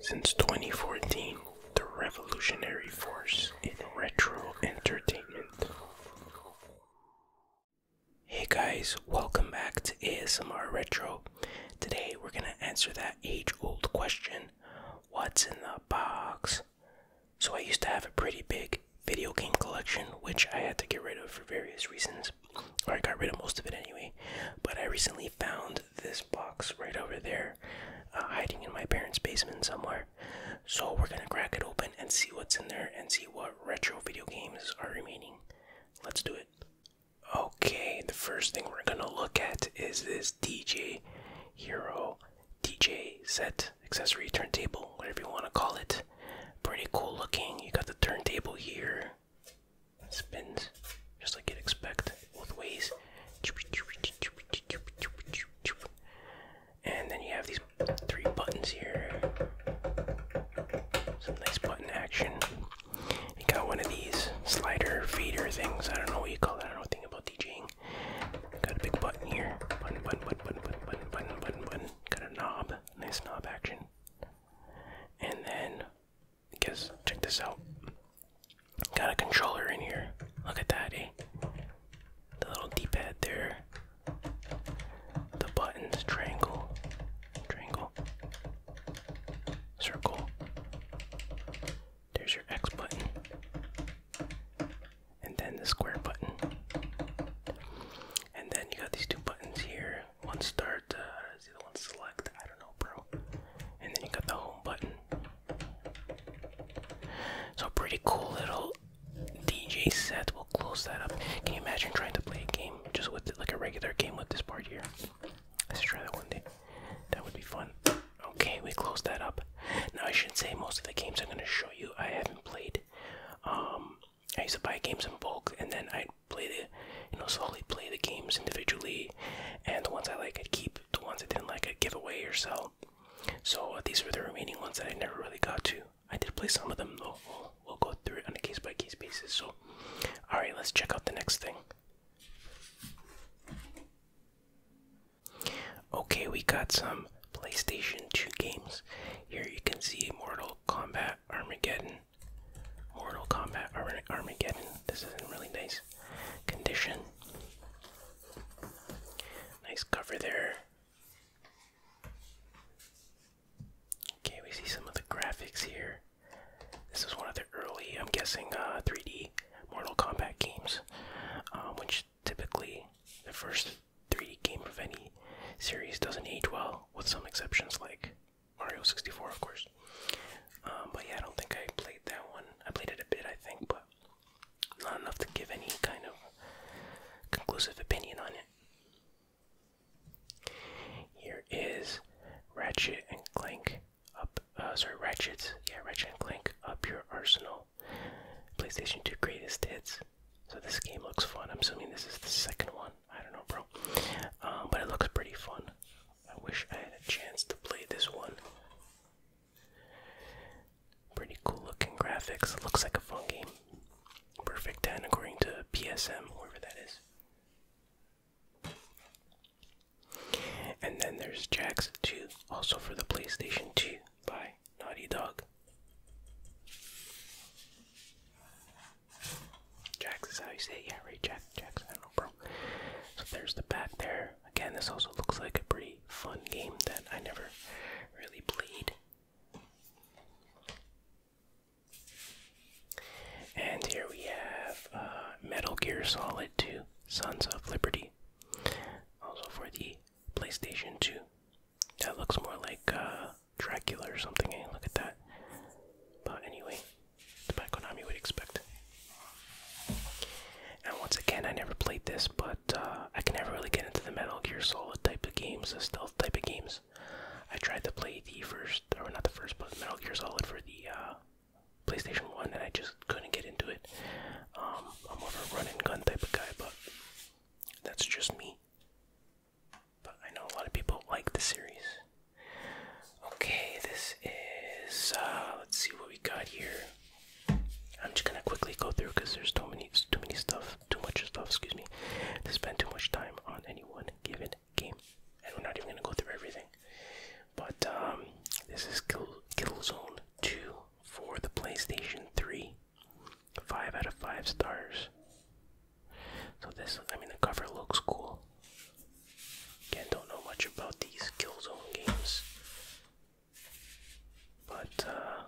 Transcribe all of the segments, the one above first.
Since 2014, the revolutionary force in retro entertainment. Hey guys, welcome back to ASMR Retro. Today we're gonna answer that age old question what's in the box? So I used to have a pretty big video game collection, which I had to get rid of for various reasons, or I got rid of most of it anyway. But I recently found this box right over there, uh, hiding in my parents' basement somewhere. So we're gonna crack it open and see what's in there and see what retro video games are remaining. Let's do it. Okay, the first thing we're gonna look at is this DJ Hero DJ set accessory turntable, whatever you wanna call it. Pretty cool looking. You got the turntable here. Spins, just like you'd expect, both ways. And then you have these three buttons here. Some nice button action. You got one of these slider feeder things. I don't know what you call that. I don't know about DJing. Got a big button here. Button, button, button, button, button, button, button, button. Got a knob. Nice knob action. And then Guess. check this out. Got a controller in here. Look at that, eh? The little D-pad there. The buttons, triangle, triangle, circle. There's your X button. And then the square button. And then you got these two buttons here one start, uh, the other one select, I don't know, bro. And then you got the home button. So pretty cool little DJ set. We'll close that up. Can you imagine trying to play a game just with like a regular game with this part here? Let's try that one day. That would be fun. Okay, we close that up. Now I should say most of the games I'm gonna show you I haven't played. Um, I used to buy games in bulk and then i play the, you know, slowly play the games individually, and the ones I like i keep, the ones I didn't like I'd give away or sell. So uh, these were the remaining ones that I never really got to. I did play some of them though. We'll, go through it on a case by case basis. So, all right, let's check out the next thing. Okay, we got some PlayStation 2 games. Here you can see Mortal Kombat Armageddon. Mortal Kombat Armageddon. This is in really nice condition. Nice cover there. Okay, we see some of the graphics here. This is one of the early, I'm guessing, 3D uh, Mortal Kombat games, um, which typically the first 3D game of any series doesn't age well, with some exceptions like Mario 64, of course. Um, but yeah, I don't think I played that one. I played it a bit, I think, but not enough to give any kind of conclusive opinion on it. Here is Ratchet and Clank up. Uh, sorry, Ratchet. Yeah, Ratchet and Clank up your arsenal. PlayStation 2 greatest hits. So this game looks fun. I'm assuming this is the second one. I don't know, bro. Um, but it looks pretty fun. I wish I had a chance to play this one. Pretty cool looking graphics. Looks like a fun game. Perfect 10 according to PSM, whoever that is. And then there's Jax 2, also for the PlayStation 2 by Naughty Dog. Jack is how you say it. Yeah, right, Jack. Jacks, I don't know, bro. So there's the back there. Again, this also looks like a pretty fun game that I never really played. And here we have uh, Metal Gear Solid 2 Sons of Liberty. Also for the PlayStation 2. That looks more like uh, Dracula or something. Hey, eh? look at that. But anyway, by Konami would expect. And once again, I never played this, but uh, I can never really get into the Metal Gear Solid type of games, the stealth type of games. I tried to play the first, or not the first, but Metal Gear Solid for the uh, PlayStation 1, and I just couldn't get into it. Um, I'm more of a run and gun type of guy, but that's just me but I know a lot of people like the series. Okay, this is. Uh, let's see what we got here. I'm just gonna quickly go through because there's too many, too many stuff, too much stuff. Excuse me, to spend too much time on any one given game, and we're not even gonna go through everything. But um, this is Kill Killzone Two for the PlayStation Three. Five out of five stars. So this, I mean, the cover looks cool. Again, don't know much about these Killzone games, but uh,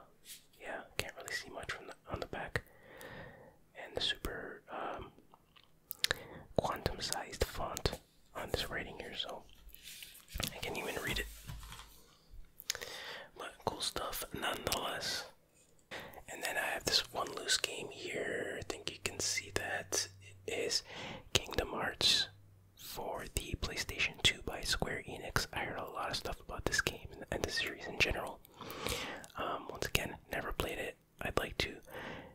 yeah, can't really see much from the, on the back. And the super um, quantum-sized font on this writing here, so I can't even read it. But cool stuff nonetheless. And then I have this one loose game here. I think you can see that it is Kingdom Hearts for the PlayStation 2 by Square Enix. I heard a lot of stuff about this game and the series in general. Um, once again, never played it. I'd like to.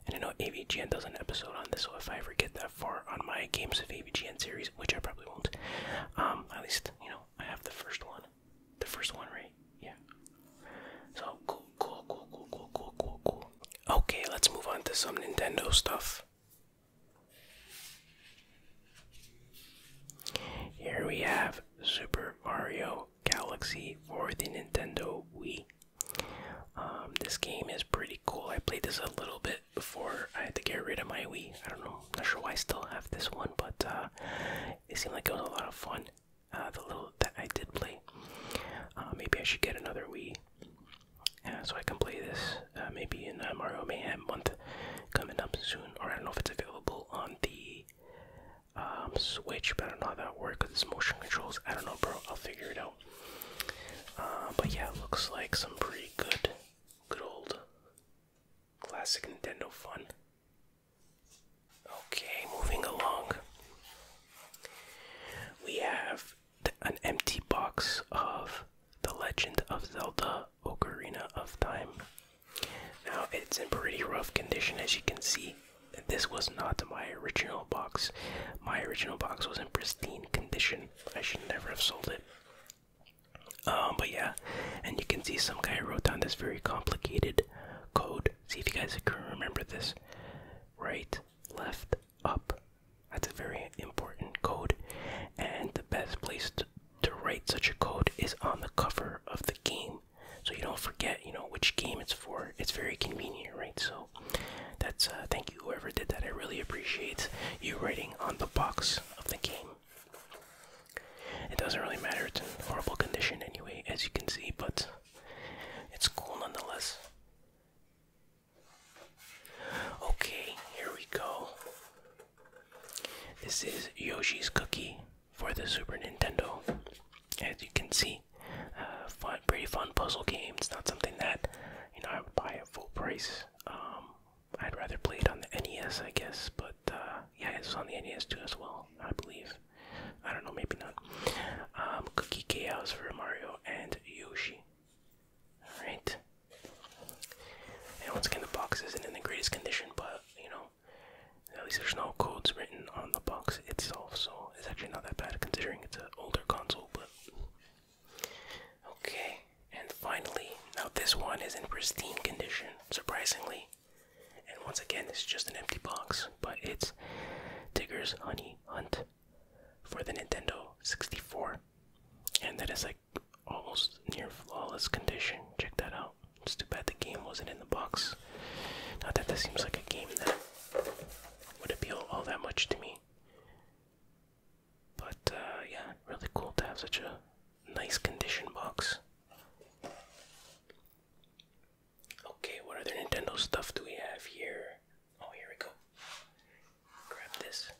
And I know AVGN does an episode on this, so if I ever get that far on my Games of AVGN series, which I probably won't, um, at least, you know, I have the first one. The first one, right? yeah. So cool, cool, cool, cool, cool, cool, cool, cool. Okay, let's move on to some Nintendo stuff. Here we have Super Mario Galaxy for the Nintendo Wii. Um, this game is pretty cool. I played this a little bit before I had to get rid of my Wii. I don't know, not sure why I still have this one, but uh, it seemed like it was a lot of fun. Uh, the little that I did play. Uh, maybe I should get another Wii, uh, so I can play this. maybe in Mario Mayhem month coming up soon, or I don't know if it's available on the um, Switch, but I don't know how that works. It's motion controls. I don't know, bro. I'll figure it out. but yeah, looks like some pretty good, good old classic Nintendo fun. Okay, moving along. We have an empty box of The Legend of Zelda Ocarina of Time. Now, it's in pretty rough condition as you can see. This was not my original box. My original box was in pristine condition. I should never have sold it. Um, but yeah, and you can see some guy wrote down this very complicated code See if you guys can remember this. Right, left, up. That's a very important code. And the best place to, to write such a code is on the cover of the game. So you don't forget, you know, which game it's for. It's very convenient, right? So that's uh, thank you whoever did that. I really appreciate you writing on the box of the game. It doesn't really matter, it's in horrible condition anyway, as you can see, but it's cool nonetheless. Okay, here we go. This is Yoshi's Cookie for the Super Nintendo. As you can see, uh, fun, pretty fun puzzle game. It's not something that you know I would buy at full price. Um, I'd rather play it on the NES, I guess. But uh, yeah, it's on the NES too as well, I believe. I don't know, maybe not. Um, Cookie Chaos for Mario and Yoshi. Alright. And once again, the box isn't in the greatest condition, but you know, at least there's no codes written on the box itself, so it's actually not that bad considering it's an older console. But okay, and finally, now this one is in pristine condition, surprisingly. And once again, it's just an empty box, but it's Digger's Honey Hunt for the Nintendo 64. And that is like almost near flawless condition. Check that out. It's too bad the game wasn't in the box. Not that this seems like a game that would appeal all that much to me. But uh, yeah, really cool to have such a nice condition box. Okay, what other Nintendo stuff do we have here? Oh, here we go. Grab this.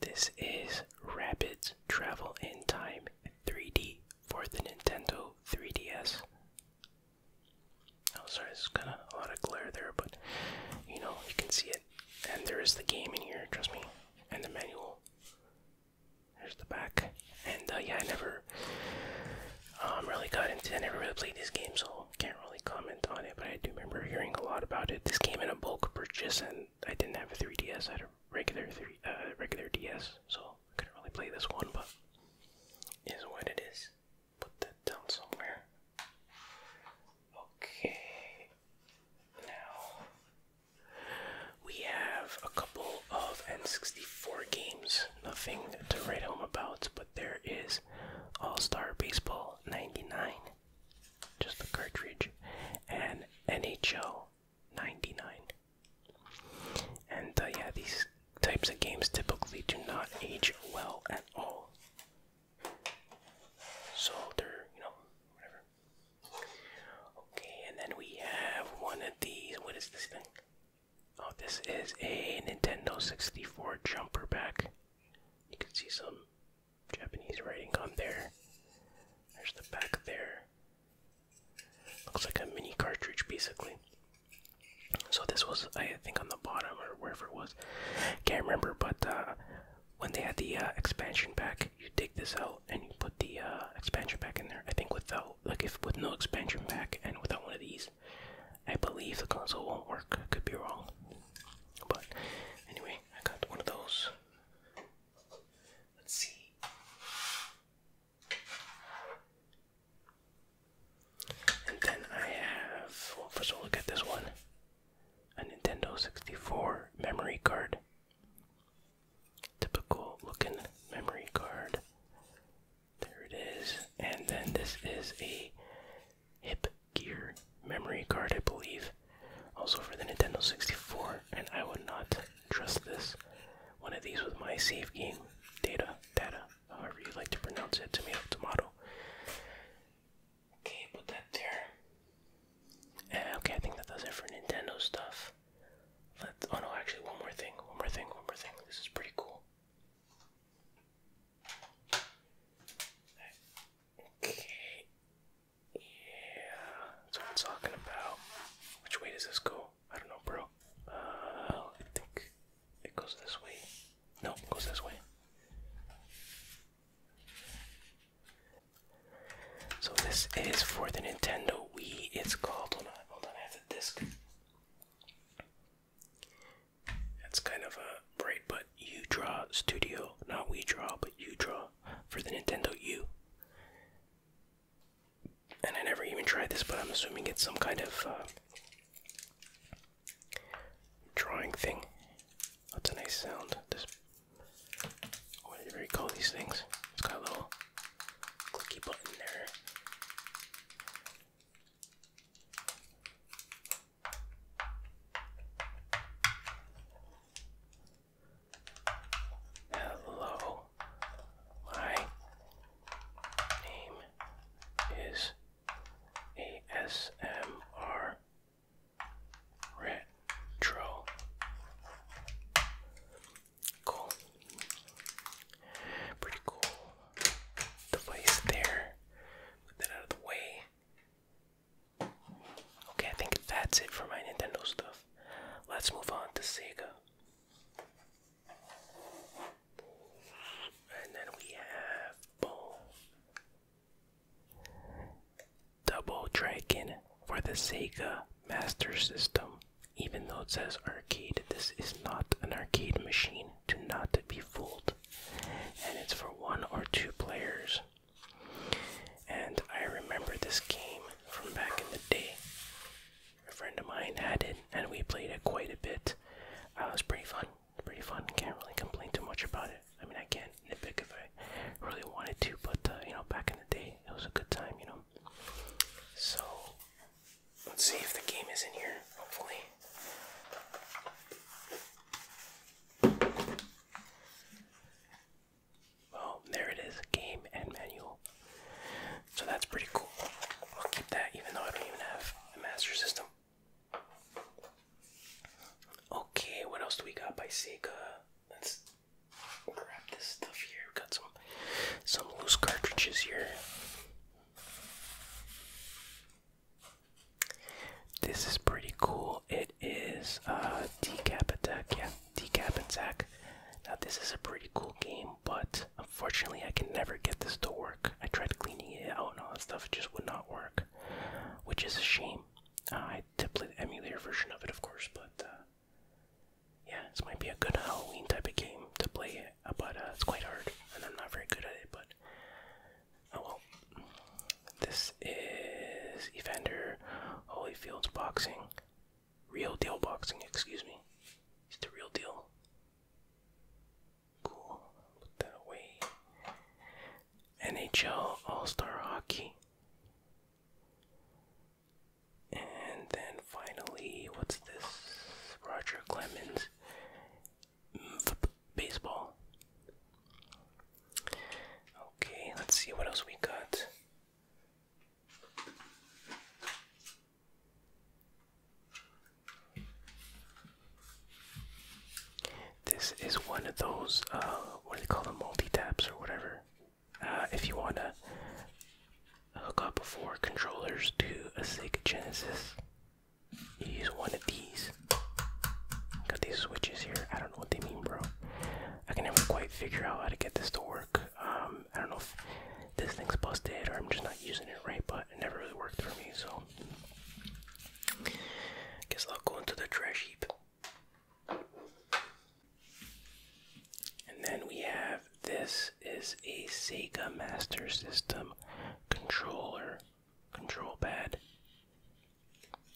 This is Rapids Travel in Time 3D for the Nintendo 3DS. Oh, sorry, it's got a lot of glare there, but you know, you can see it. And there is the game in here, trust me, and the manual. There's the back. And uh, yeah, I never um, really got into. I never really played this game, so can't really comment on it. But I do remember hearing a lot about it. This came in a bulk purchase, and I didn't have a 3DS. I had a regular three, uh, regular DS, so I couldn't really play this one. But is what it is. Put that down somewhere. Okay. Now we have a couple of N64 games, nothing to write home about, but there is All Star Baseball 99, just a cartridge, and NHL 99. And uh, yeah, these types of games typically do not age well at all. So you know, whatever. Okay, and then we have one of these. What is this thing? Oh, this is a Nintendo 64 jumper back. You can see some Japanese writing on there. There's the back there. Looks like a mini cartridge, basically. So this was, I think, on the bottom or wherever it was. Can't remember, but uh, when they had the uh, expansion pack, you take this out and you put the uh, expansion pack in there. I think without, like, if with no expansion pack and without one of these, I believe the console won't work. I could be wrong, but anyway, I got one of those. Let's see. And then I have, first of all, look at this one a Nintendo 64 memory card. Typical looking memory card. There it is. And then this is a Hip Gear memory card, I believe. Also for the Nintendo 64. And I would not trust this. One of these with my save game data, data, however you like to pronounce it, tomato, tomato. Okay, put that there. Eh, okay, I think that does it for Nintendo stuff. let oh no, actually, one more thing, one more thing, one more thing. This is pretty cool. Okay. Yeah, that's what I'm talking about. Which way does this go? I don't know, bro. Uh, I think it goes this way. No, it goes this way. So this is for the Nintendo Wii. It's called. Hold on, hold on. I have the disc. That's kind of a bright, but you draw studio, not we draw, but you draw for the Nintendo U. And I never even tried this, but I'm assuming it's some kind of uh, drawing thing. That's a nice sound. This whatever oh, you call these things. It's got a little clicky button there. Hello. My name is ASMR Retro. Cool. Pretty cool device there. Put that out of the way. Okay, I think that's it for my Nintendo stuff. Let's move on to Sega. And then we have boom. Double Dragon for the Sega Master System. Even though it says arcade, this is not an arcade machine. Do not be fooled. And it's for one or two players. And I remember this game from back in the day. A friend of mine had it, and we played it quite a bit. Uh, it was pretty fun. Pretty fun. Can't really complain too much about it. I mean, I can't nitpick if I really wanted to, but uh, you know, back in the day, it was a good time, you know. So, let's see if the game is in here, hopefully. Oh, there it is game and manual. So that's pretty cool. I'll keep that even though I don't even have a master system. Okay, what else do we got by Sega? let's grab this stuff here. got some some loose cartridges here. This is pretty cool. It is a uh, decap attack, yeah, decap attack. Now this is a pretty cool game, but unfortunately I can never get this to work. I tried cleaning it out and all that stuff, it just would not work. Which is a shame. Uh, I did play the emulator version of it, of course, but uh, yeah, this might be a good Halloween type of game to play, uh, but it's quite hard, and I'm not very good at it, but oh well. This is Evander Holyfield's boxing. Real deal boxing, excuse me. It's the real deal. Cool. Put that away. NHL All Star Hockey. And then finally, what's this? Roger Clemens. Baseball. Okay, let's see what else we got. This is one of those, uh, what do they call them, multi-taps or whatever. Uh, if you want to hook up four controllers to a Sega Genesis, you use one of these. Got these switches here. I don't know what they mean, bro. I can never quite figure out how to get this to work. Um, I don't know if this thing's busted or I'm just not using it right, but it never really worked for me, so. Guess I'll go into the trash heap. And then we have this is a Sega Master System controller control pad.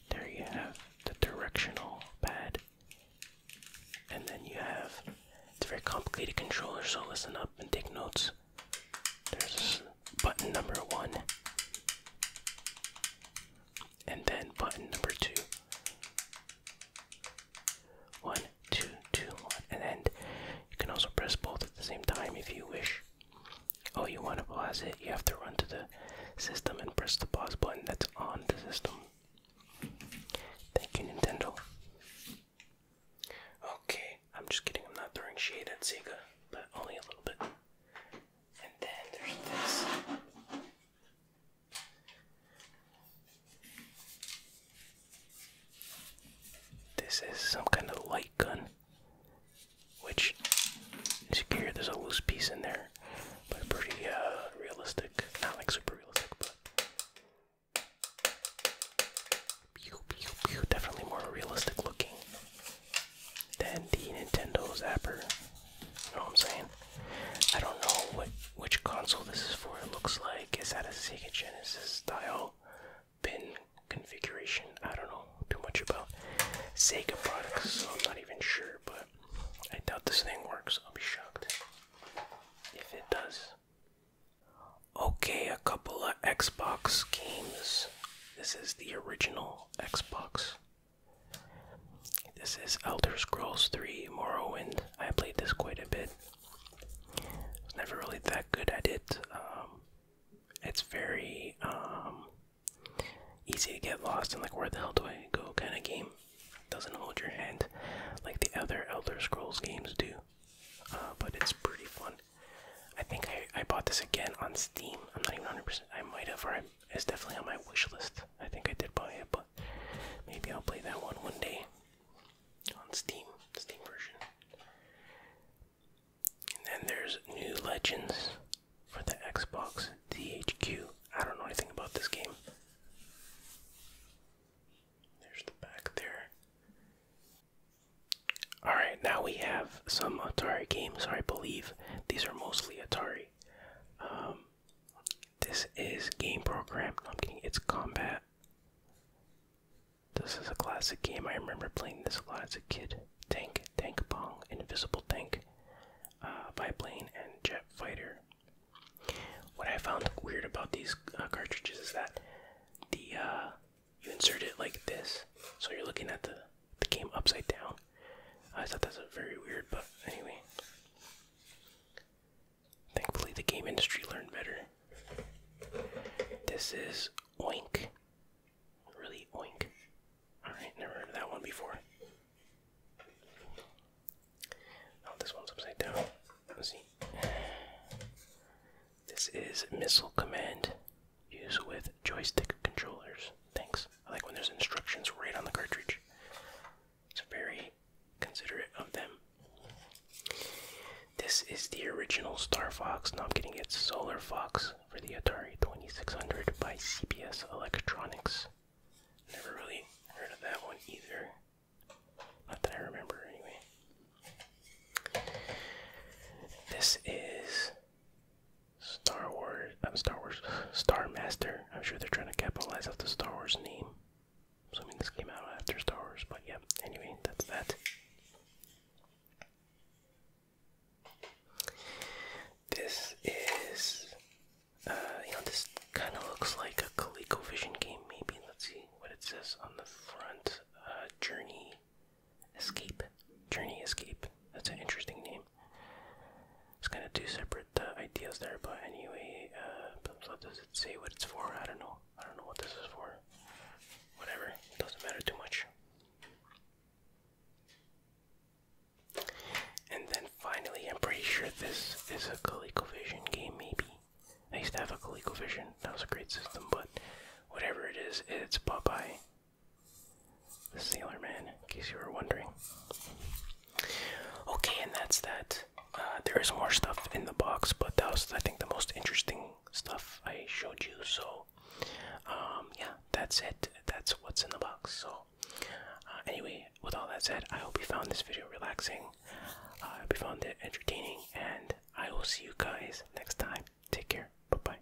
There you have the directional pad. And then you have it's a very complicated controller, so listen up and take notes. There's button number one and then button number two. One, and then you can also press both at the same time if you wish. Oh, you want to pause it? You have to run to the system and press the pause button that's on the system. Thank you, Nintendo. Okay, I'm just kidding. I'm not throwing shade at Sega, but only a little bit. And then there's this. This is some kind of light gun, which as you there's a loose piece in there, but pretty uh, realistic. Not like super realistic, but definitely more realistic looking than the Nintendo Zapper. You know what I'm saying? I don't know what which console this is for. It looks like it's at a Sega Genesis style pin configuration. I don't know too much about Sega products, so I'm not even sure, but I doubt this thing works. I'll be shocked if it does. Okay, a couple of Xbox games. This is the original Xbox this is Elder Scrolls 3 Morrowind. I played this quite a bit. never really that good at it. Um, it's very um, easy to get lost in like where the hell do I go kind of game. Doesn't hold your hand like the other Elder Scrolls games do. Uh, but it's pretty fun. I think I, I bought this again on Steam. I'm not even 100%. I might have, or it's definitely on my wish list. I think I did buy it, but maybe I'll play that one one day on Steam, Steam version. And then there's New Legends for the Xbox DHQ. I don't know anything about this game. There's the back there. Alright, now we have some Atari games, I believe these are mostly Atari. Um, this is game program. No, I'm getting It's combat. This is a classic game. I remember playing this a lot as a kid. Tank, Tank Pong, Invisible Tank, uh, Biplane, and Jet Fighter. What I found weird about these uh, cartridges is that the uh, you insert it like this, so you're looking at the the game upside down. I thought that was very weird, but anyway. Thankfully, the game industry learned better. This is Oink. Really, Oink. Alright, never heard that one before. Oh, this one's upside down. Let's see. This is Missile Command. Use with joystick controllers. Thanks. I like when there's instructions right on the cartridge. It's very considerate of them. This is the original Star Fox. Now I'm getting it Solar Fox for the Atari 2600 by CBS Electronics. Never really heard of that one either. Not that I remember, anyway. This is Star Wars, I'm Star Wars, Star Master. I'm sure they're trying to capitalize off the Star Wars name. So I mean, this came out after Star Wars, but yeah. Anyway, that's that. This is, uh, you know, this kind of looks like a Vision game, maybe. Let's see what it says on the front. Uh, Journey Escape. Journey Escape. That's an interesting name. It's kind of two separate uh, ideas there, but anyway, uh, what does it say what it's for? I don't know. I don't know what this is for. Whatever, it doesn't matter too much. And then finally, I'm pretty sure this is a ColecoVision game, maybe. I used to have a ColecoVision, that was a great system, but whatever it is, it's Popeye. The Sailor Man, in case you were wondering. Okay, and that's that. Uh, there is more stuff in the box, but that was, I think, the most interesting stuff I showed you. So, um, yeah, that's it. That's what's in the box. So, uh, anyway, with all that said, I hope you found this video relaxing. Uh, I hope you found it entertaining, and I will see you guys next time. Take care. Bye bye.